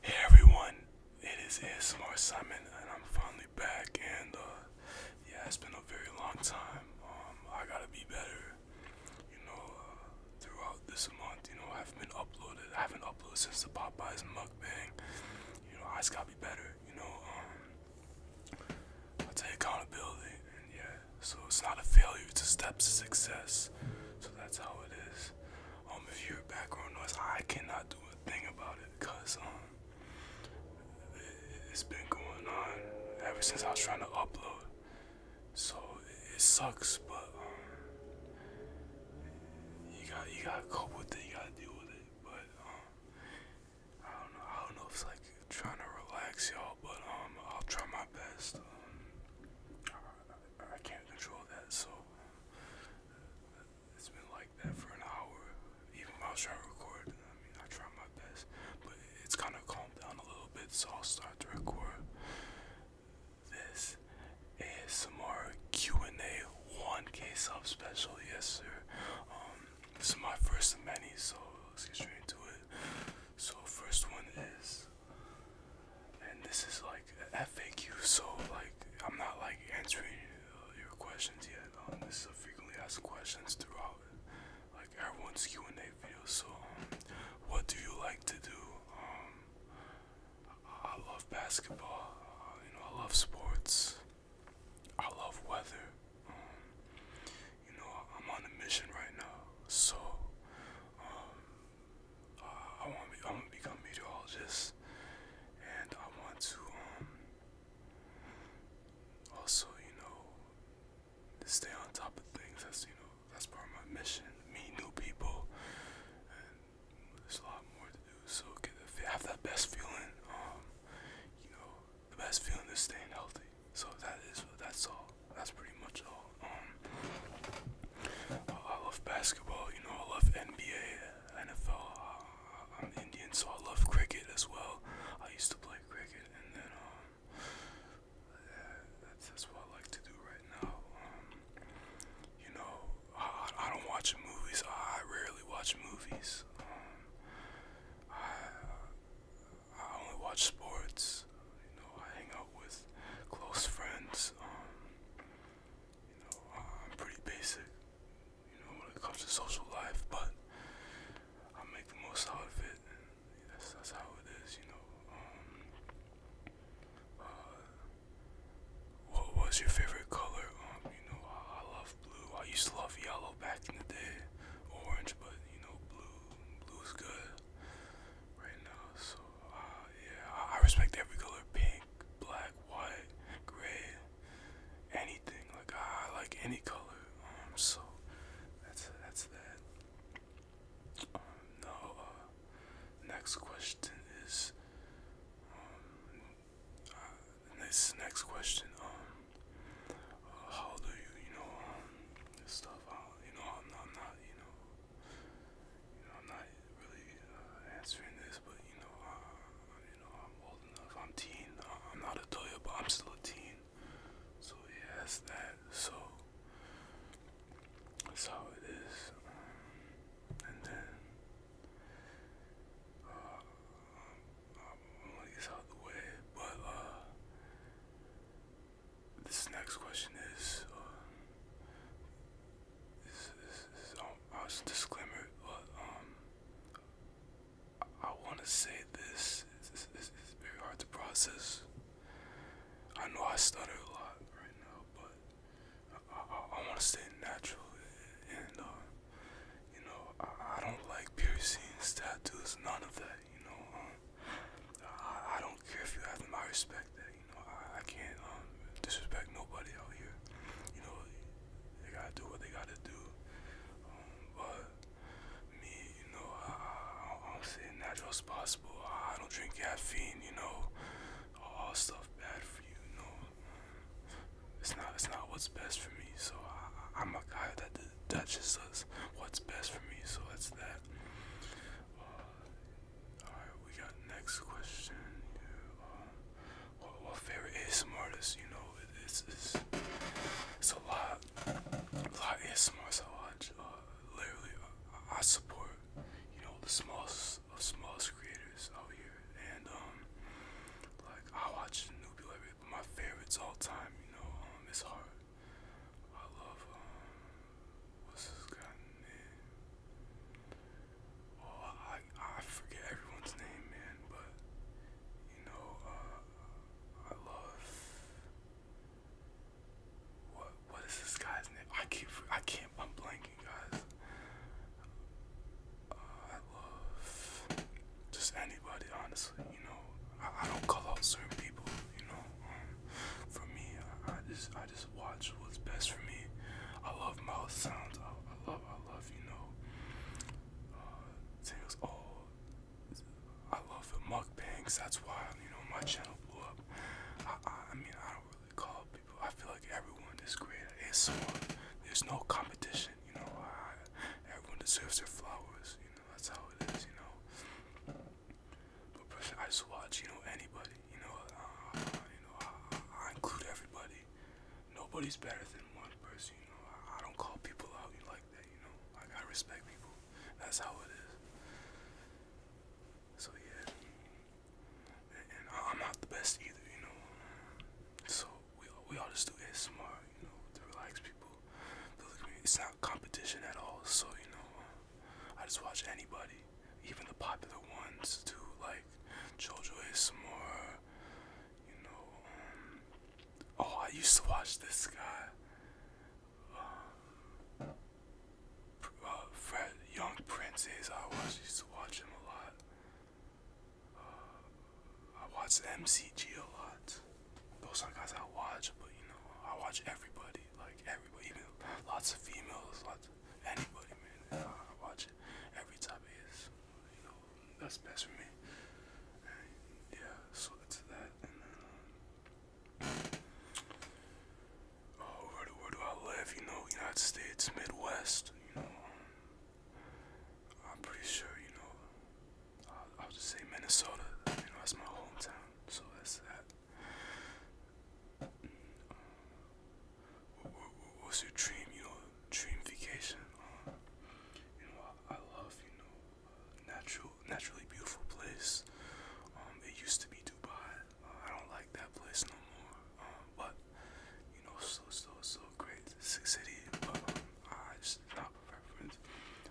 Hey everyone, it is ASMR Simon and I'm finally back and uh, yeah, it's been a very long time. Um, I gotta be better, you know, uh, throughout this month, you know, I haven't been uploaded, I haven't uploaded since the Popeyes mukbang, you know, I just gotta be better, you know, um, I take accountability and yeah, so it's not a failure, it's a step to success, so that's how it is. Um, if you hear background noise, I cannot do a thing about it because um, it's been going on ever since I was trying to upload. So it sucks, but um, you got you got to cope with it. You got to deal with it. But um, I don't know. I don't know if it's like trying to relax y'all, but um, I'll try my best. Um, I, I can't control that, so it's been like that for an hour, even while trying to record. I mean, I try my best, but it's kind of calmed down a little bit, so I'll start to record this ASMR Q&A 1K sub special. Yes, sir. Um, this is my first of many, so let's get straight into it. So, first one is and this is like FAQ, so like I'm not like answering uh, your questions yet. Um, this is a frequently asked questions throughout like everyone's Q&A video. So, um, what do you like to do? Um, I, love basketball. Uh, you know, I love sports. I love weather. Um, you know, I'm on a mission right now, so um, uh, I want to I want to become a meteorologist, and I want to um, also you know stay on top of things. That's you know that's part of my mission. Meet new people, and there's a lot more to do. So get have that best feeling. Um, you know the best feeling is staying healthy. So that is that's all. That's pretty much all. Um, I love basketball, you know, I love NBA, NFL, uh, I'm Indian, so I love cricket as well. I used to play cricket, and then, um, that's, that's what I like to do right now. Um, you know, I, don't watch movies, I rarely watch movies. Um, I, I only watch sports. You know, I hang out with close friends. You know, uh, I'm pretty basic, you know, when it comes to social life, but I make the most out of it. That's, that's how it is, you know. Um, uh, what was your favorite color? Um, you know, I, I love blue. I used to love yellow back in the day, orange, but you know, blue, blue's good right now. So yeah, I respect every color pink, black, white, gray, anything. Like, I like any color. Um, so, that's, that's that. Um, uh, next question is. Um, uh, this next question, um, uh, how do you, you know, um, this stuff, uh, you know, I'm not, I'm not, you know, you know, I'm not really uh, answering this, but you know, you know, I'm old enough. I'm teen. I'm not a toya, but I'm still a teen. So yeah, that's that. So that's how it is. and then uh, I'm gonna get out of the way, but uh, this next question is so I was disclaimer, but um, I, want to say this. is it's, it's, very hard to process. I know I stutter a lot right now, but I, I, want to stay natural, and uh, you know, I, I don't like piercings, tattoos, none of that. You know, um, I, I don't care if you have my respect you know, I, can't um, disrespect nobody out here. You know, they gotta do what they gotta do. Um, but me, you know, I, I, I not natural as possible. I, don't drink caffeine, you know. All, stuff bad for you, you It's not, it's not what's best for me. So I, am a guy that, that just does what's best for me. So that's that. Uh, Alright, we got next question. what, um, what favorite ASMR artist? You know, it, it's, it's a lot, lot of ASMRs I watch. Uh, literally, I, support you know the smallest uh, smallest creators out here, and um, like I watch Newbie Larry, my favorites all time, you know, um, it's hard. I love um, What's this guy's name? Oh, I I forget everyone's name, man. But you know, uh, I love what what is this guy's name? I keep I can't I'm blanking, guys. Uh, I love just anybody, honestly. You know, I, I don't call out certain people. You know, um, for me, I just I just watch what's best for me. I love mouth sounds. I, I love, I love, you know, uh, Tails. Oh, I love the mukbangs. That's why, you know, my channel blew up. I, I, mean, I don't really call people. I feel like everyone is great at ASMR. There's no competition, you know. everyone deserves their flowers. You know, that's how it is, you know. But I just watch, you know, anybody. You know, uh, you know, I, include everybody. Nobody's better than one person. You know, I, don't call people out like that. You know, like I respect people. That's how it is. So yeah, and I'm not the best either. You know, so we we all just do it smart. You know, to relax people. It's not competition at all. So you know, uh, I just watch anybody even the popular ones too, like JoJo ASMR, you know, um, oh, I used to watch this guy, um, uh, Young princes. I was used to watch him a lot, uh, I watched MCG a lot, those are guys I watch, but you know, I watch everybody, like everybody, even lots of females, lots anybody, man. I watch it every time it is. You know, that's best for me. yeah, so that's that. And then, um, oh, where do, I live? You know, United States, Midwest. You know, I'm pretty sure. You know, I'll just say Minnesota. You know, that's my hometown. So that's that what, what's your dream? You know, dream vacation. you know, I, love you know natural, naturally beautiful place. Um, it used to be Dubai. Uh, I don't like that place no more. Um, but you know, so so so great city. um, I just not reference.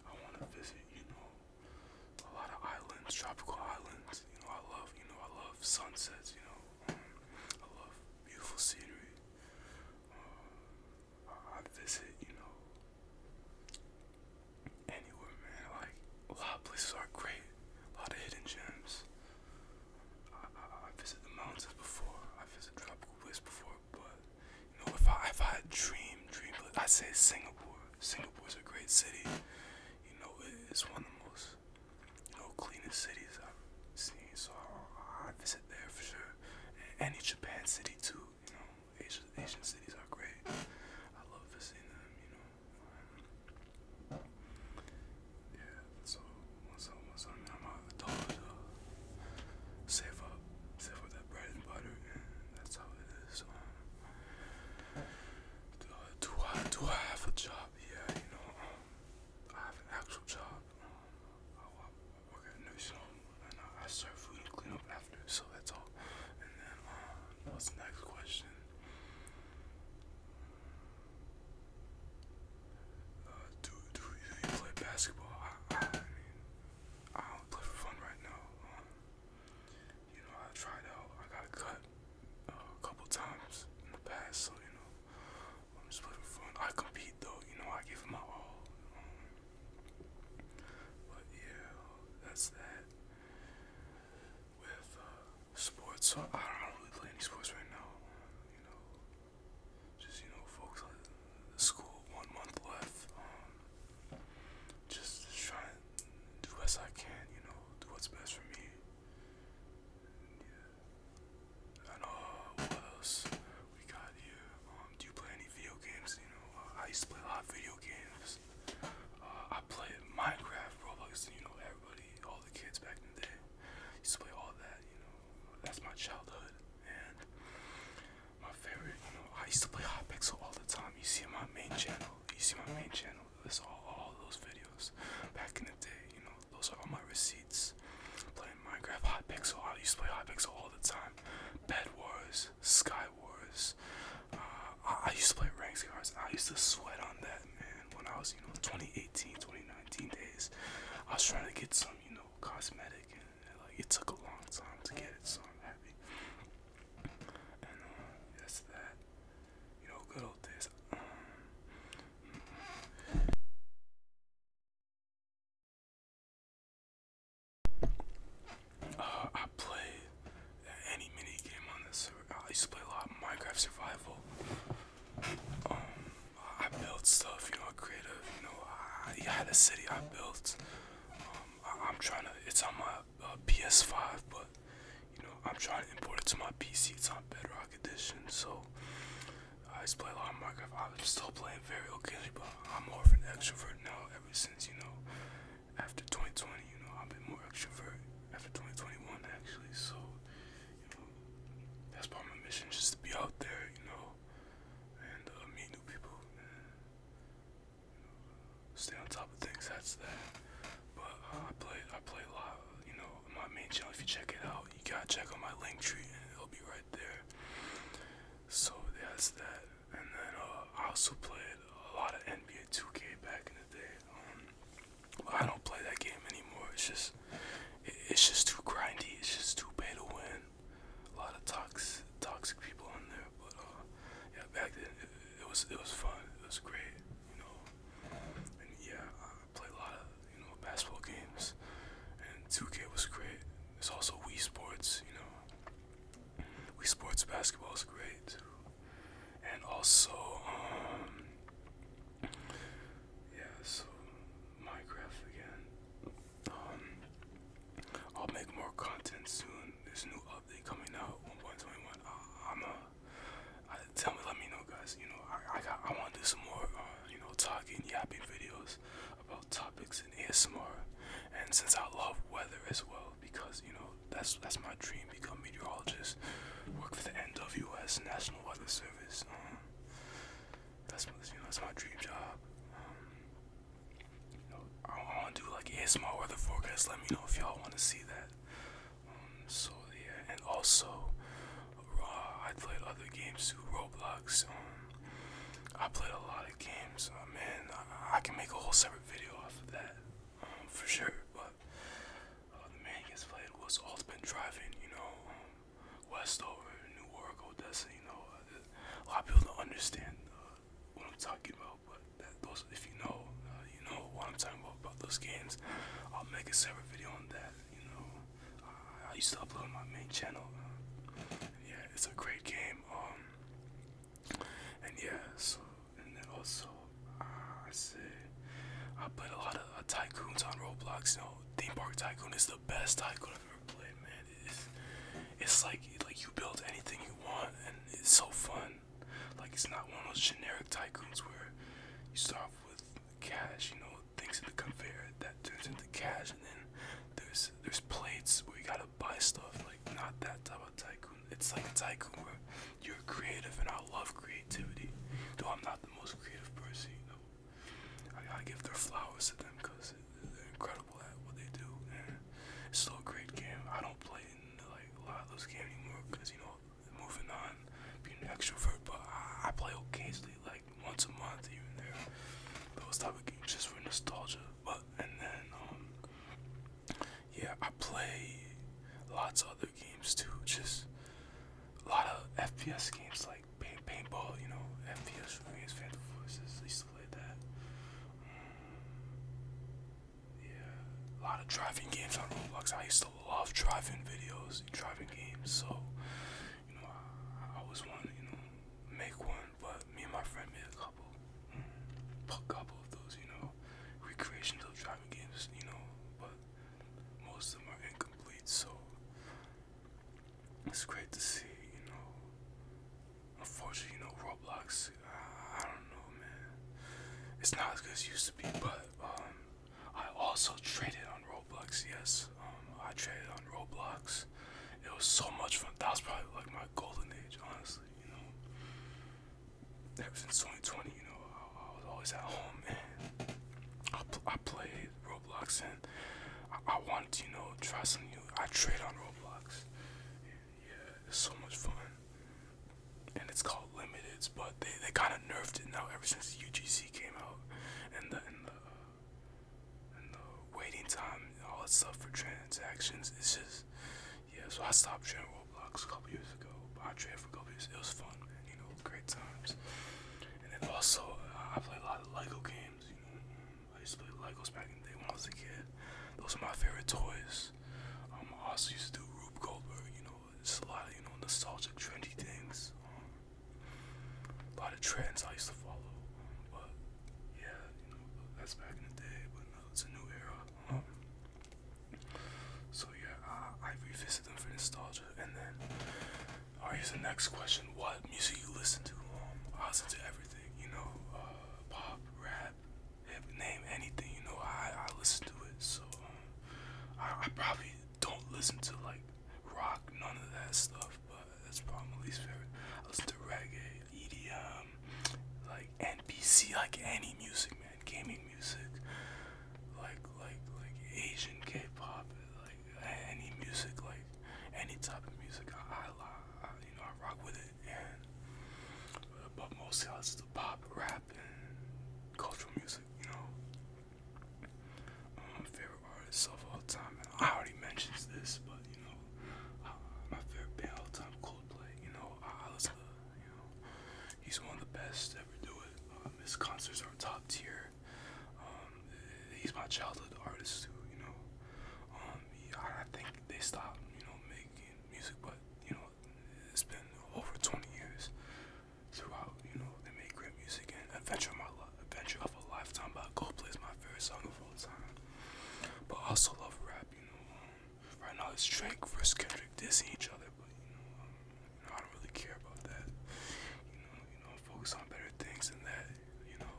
I want to visit. You know, a lot of islands, tropical islands. You know, I love. You know, I love sunsets. You know, I love beautiful scenery. Um, I, visit, you know, anywhere, man. Like a lot of places are great. A lot of hidden gems. I, I, visit the mountains before. I visit tropical places before, but you know, if I if I dream dream, i say Singapore. Singapore is a great city. You know, it's one of the most no cleanest cities I've seen, so I, I visit there for sure. Any Japan city too, you know. Asian, Asian cities are great. I love visiting them, you know. yeah. So once I I'm, out uh, save up, save up that bread and butter, and that's how it is. Um, do I do I have a job? yeah, you know, um, I have an actual job. Oh, I, work at a nursing and I, serve food and clean up after, so that's all. And then, uh, what's the next question? Uh, do, do, you play basketball? I, I, don't play for fun right now. Uh, you know, I tried out, I got a cut, a couple times in the past, so you know, I'm just playing fun. I compete though, you know, I give my all. Um, but yeah, that's that. With uh, sports, so I don't really play any sports right now. You know, just you know, focus on the school one month left. Um, just, just try do as I can. You know, do what's best for me. And uh, what else we got here? Um, do you play any video games? You know, uh, I used to play a lot of video games. Uh, I played Minecraft, Roblox, you know, everybody, all the kids back in the day used to play all that, you know. That's my childhood. And my favorite, you know, I used to play Hot Pixel all the time. You see my main channel. You see my main channel. This all, all those videos back in the day. You know, those are all my receipts. Playing Minecraft, Hot Pixel. I used to play Hot Pixel all the time. Bed Wars, Sky Wars. Uh, I, used to play ranks cards. I used to sweat on that, man. When I was, you know, 2018, 2019 days, I was trying to get some, you know, cosmetic, and, like it took a long time to get it. So I'm happy. And uh, that's that. You know, good old days. Mm uh, I play any mini game on this I used to play a lot Minecraft Survival. Um, I built stuff, you know, creative. You know, I, had a city I built. Um, I, am trying to. It's on my uh, PS5, but you know, I'm trying to import it to my PC. It's on Bedrock Edition, so I just play a lot of Minecraft. I'm still playing very occasionally, but I'm more of an extrovert now. Ever since you know, after 2020, you know, I've been more extrovert after 2021 actually. So you know, that's part of my mission, just to be out there, you know, and uh, meet new people. stay on top of things. That's that. But uh, I play, I play a lot. You know, my main channel. If you check it out, you gotta check out my link tree, it'll be right there. So that's that. And then uh, I also played a lot of NBA 2K back in the day. Um, I don't play that game anymore. It's just, it's just too grindy. It's just too pay to win. A lot of toxic, toxic people on there. But uh, yeah, back then it was, it was fun. It was great you know. And yeah, I play a lot of you know basketball games, and 2K was great. There's also Wii Sports, you know. Wii Sports basketball is great, too. and also um, yeah, so Minecraft again. Um, I'll make more content soon. There's a new update coming out 1.21. Uh, I'm a I, tell me, let me know, guys. You know, I I, want to do some more, uh, you know, talking, yapping videos about topics in ASMR, and since I love weather as well, because you know that's that's my dream, become meteorologist, work for the NWS National Weather Service. Um, that's you know that's my dream job. Um, you know, I want to do like ASMR weather forecast. Let me know if y'all want to see that. Um, so yeah, and also, uh, I played other games too, Roblox. Um, I played a lot of games. Uh, man, I, I can make a whole separate video off of that, um, for sure. But uh, the main games played was Ultimate Driving. You know, um, Westover, New York, Odessa. You know, uh, a lot of people don't understand uh, what I'm talking about, but that, those, if you know, uh, you know what I'm talking about about those games. I'll make a separate video on that. You know, uh, I used to upload on my main channel. yeah, it's a great game. Um, and yeah, so and then also uh, I say I played a lot of uh, tycoons on Roblox. You know, Theme Park Tycoon is the best tycoon I've ever played, man. It's it's like like you build anything you want, and it's so fun. Like it's not one of those generic tycoons where you start off with cash, you know, things in the conveyor that turns into cash, and then there's there's plates where you gotta buy stuff. Like not that type of tycoon. It's like a tycoon where you're creative, and I love creativity. Though I'm not the most creative person, you know. I gotta give their flowers to them because they're incredible at what they do. And it's still a great game. I don't play in like a lot of those games anymore because you know moving on, being an extrovert, but I, play occasionally, like once a month, even there. Those type of games just for nostalgia. But and then, um, yeah, I play lots other games too. Just a lot of FPS games like paint, paintball, you know, FPS games, Phantom Forces. I used to play that. Mm, yeah, a lot of driving games on Roblox. I used to just love driving videos and driving games. So, you know, I, was wanting, wanted, you know, make one, but me and my friend made a couple, mm, a couple of those, you know, recreations of driving games, you know, but most of them are incomplete. So, it's great to see, you know. Unfortunately, you know, Roblox, I, don't know, man. It's not as good as it used to be, but um, I also traded on Roblox. Yes, um, I traded on Roblox. It was so much fun. That was probably like my golden age, honestly. You know, ever since 2020, you know, I, was always at home and I, played Roblox and I, I wanted to, you know, try something new. I trade on Roblox. yeah, it's so much fun and it's called limiteds, but they, they kind of nerfed it now ever since UGC came out, and the and the uh, and the waiting time and all that stuff for transactions. It's just yeah. So I stopped playing Roblox a couple years ago. But I traded for a couple years. It was fun, man. You know, great times. And then also uh, I play a lot of Lego games. You know, I used to play Legos back in the day when I was a kid. Those are my favorite toys. Um, I also used to do Rube Goldberg, you know, it's a lot of, you know, nostalgic, trendy things. Um, a lot of trends I used to follow. Um, but, yeah, you know, that's back in the day. But no, it's a new era. Um, so, yeah, I, I revisit them for nostalgia. And then, alright, here's the next question. What music you listen to? Um, I listen to everything, you know, uh, pop, rap, hip, name anything, you know, I, I listen to it. So, um, I, I probably don't listen to like rock, none of that stuff. But that's probably my least favorite. I listen to reggae, EDM, like NPC, like any music, man, gaming music, like like like Asian K-pop, like any music, like any type of music. I, I, I you know I rock with it, and but most of all it's the pop, rap, and cultural music. You know um, favorite artist of all time. I already mentioned this, but you know, uh, my favorite band all time, Coldplay. You know, I, I listen you know, he's one of the best to ever do it. Um, his concerts are top tier. Um, he's my childhood artist too. You know, um, I think they stopped, you know, making music, but you know, it's been over 20 years throughout. You know, they make great music. And Adventure of My Love, Adventure of a Lifetime but Gold plays my favorite song of all time. But I also love rap. You know, um, right now it's Drake versus Kendrick dissing each other, but um, you know, I don't really care about that. You know, you know, focus on better things than that. You know,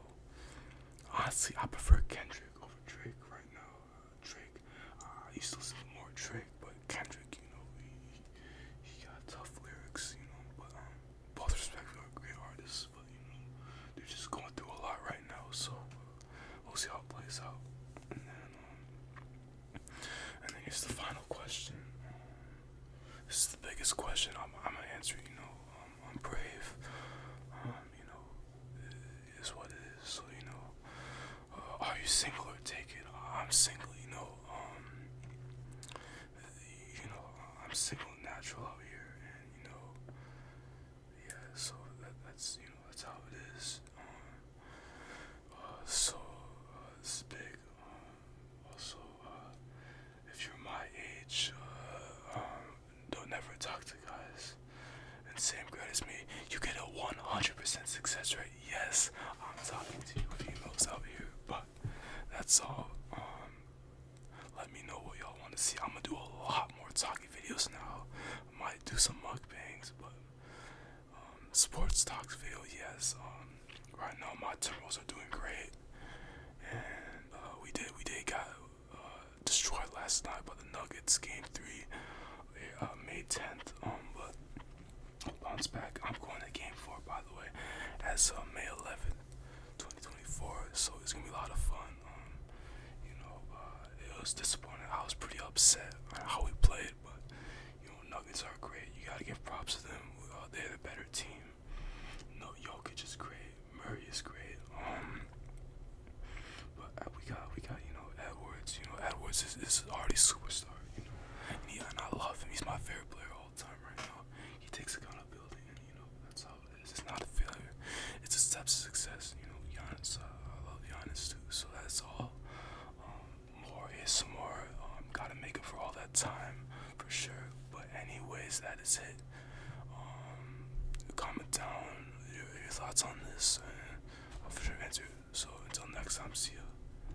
honestly, I prefer Kendrick over Drake right now. Uh, Drake, uh, I used to listen more Drake, but Kendrick, you know, he, he got tough lyrics, you know, but um, both respectfully are great artists, but you know, they're just going through a lot right now, so we'll see how it plays out. And then, um, and then here's the final question. this is the biggest question I'm, I'm gonna answer, you know, um, I'm brave, um, you know, it is what it is, so you know, uh, are you single or taken? I'm single, you know, um, you know, I'm single natural out here, and you know, yeah. So that's you know that's how it is. Um, uh, so uh, big. Um, also, uh, if you're my age, uh, um, don't never talk to guys And same grade as me. You get a 100% success rate yes, I'm talking to you females out here, but that's all. Um, let me know what y'all want to see. I'm gonna do a lot more talking videos now. I might do some mukbangs, but um, sports talks video, yes. Um, right now my Timberwolves are doing great, and uh, we did we did got uh, destroyed last night by the Nuggets game three, eh, uh, May 10th. Um, but Bounce back. I'm going to game four, by the way, as uh, May 11th, 2024. So it's gonna be a lot of fun. Um, you know, uh, it was disappointing. I was pretty upset how we played, but you know, Nuggets are great. You gotta give props to them. Uh, they're the better team. No, Jokic is great. Murray is great. Um, but uh, we got we got you know Edwards. You know Edwards is, already a superstar. You know, and I love him. He's my favorite player all the time right now. He takes a kind accountability, and you know that's how it is. It's not a failure. It's a step to success. You know, Giannis. Uh, I love Giannis too. So that's all. Um, more is more. Um, gotta make up for all that time for sure. But anyways, that is it. Um, comment down your, thoughts on this, I'll for sure answer. So until next time, see ya.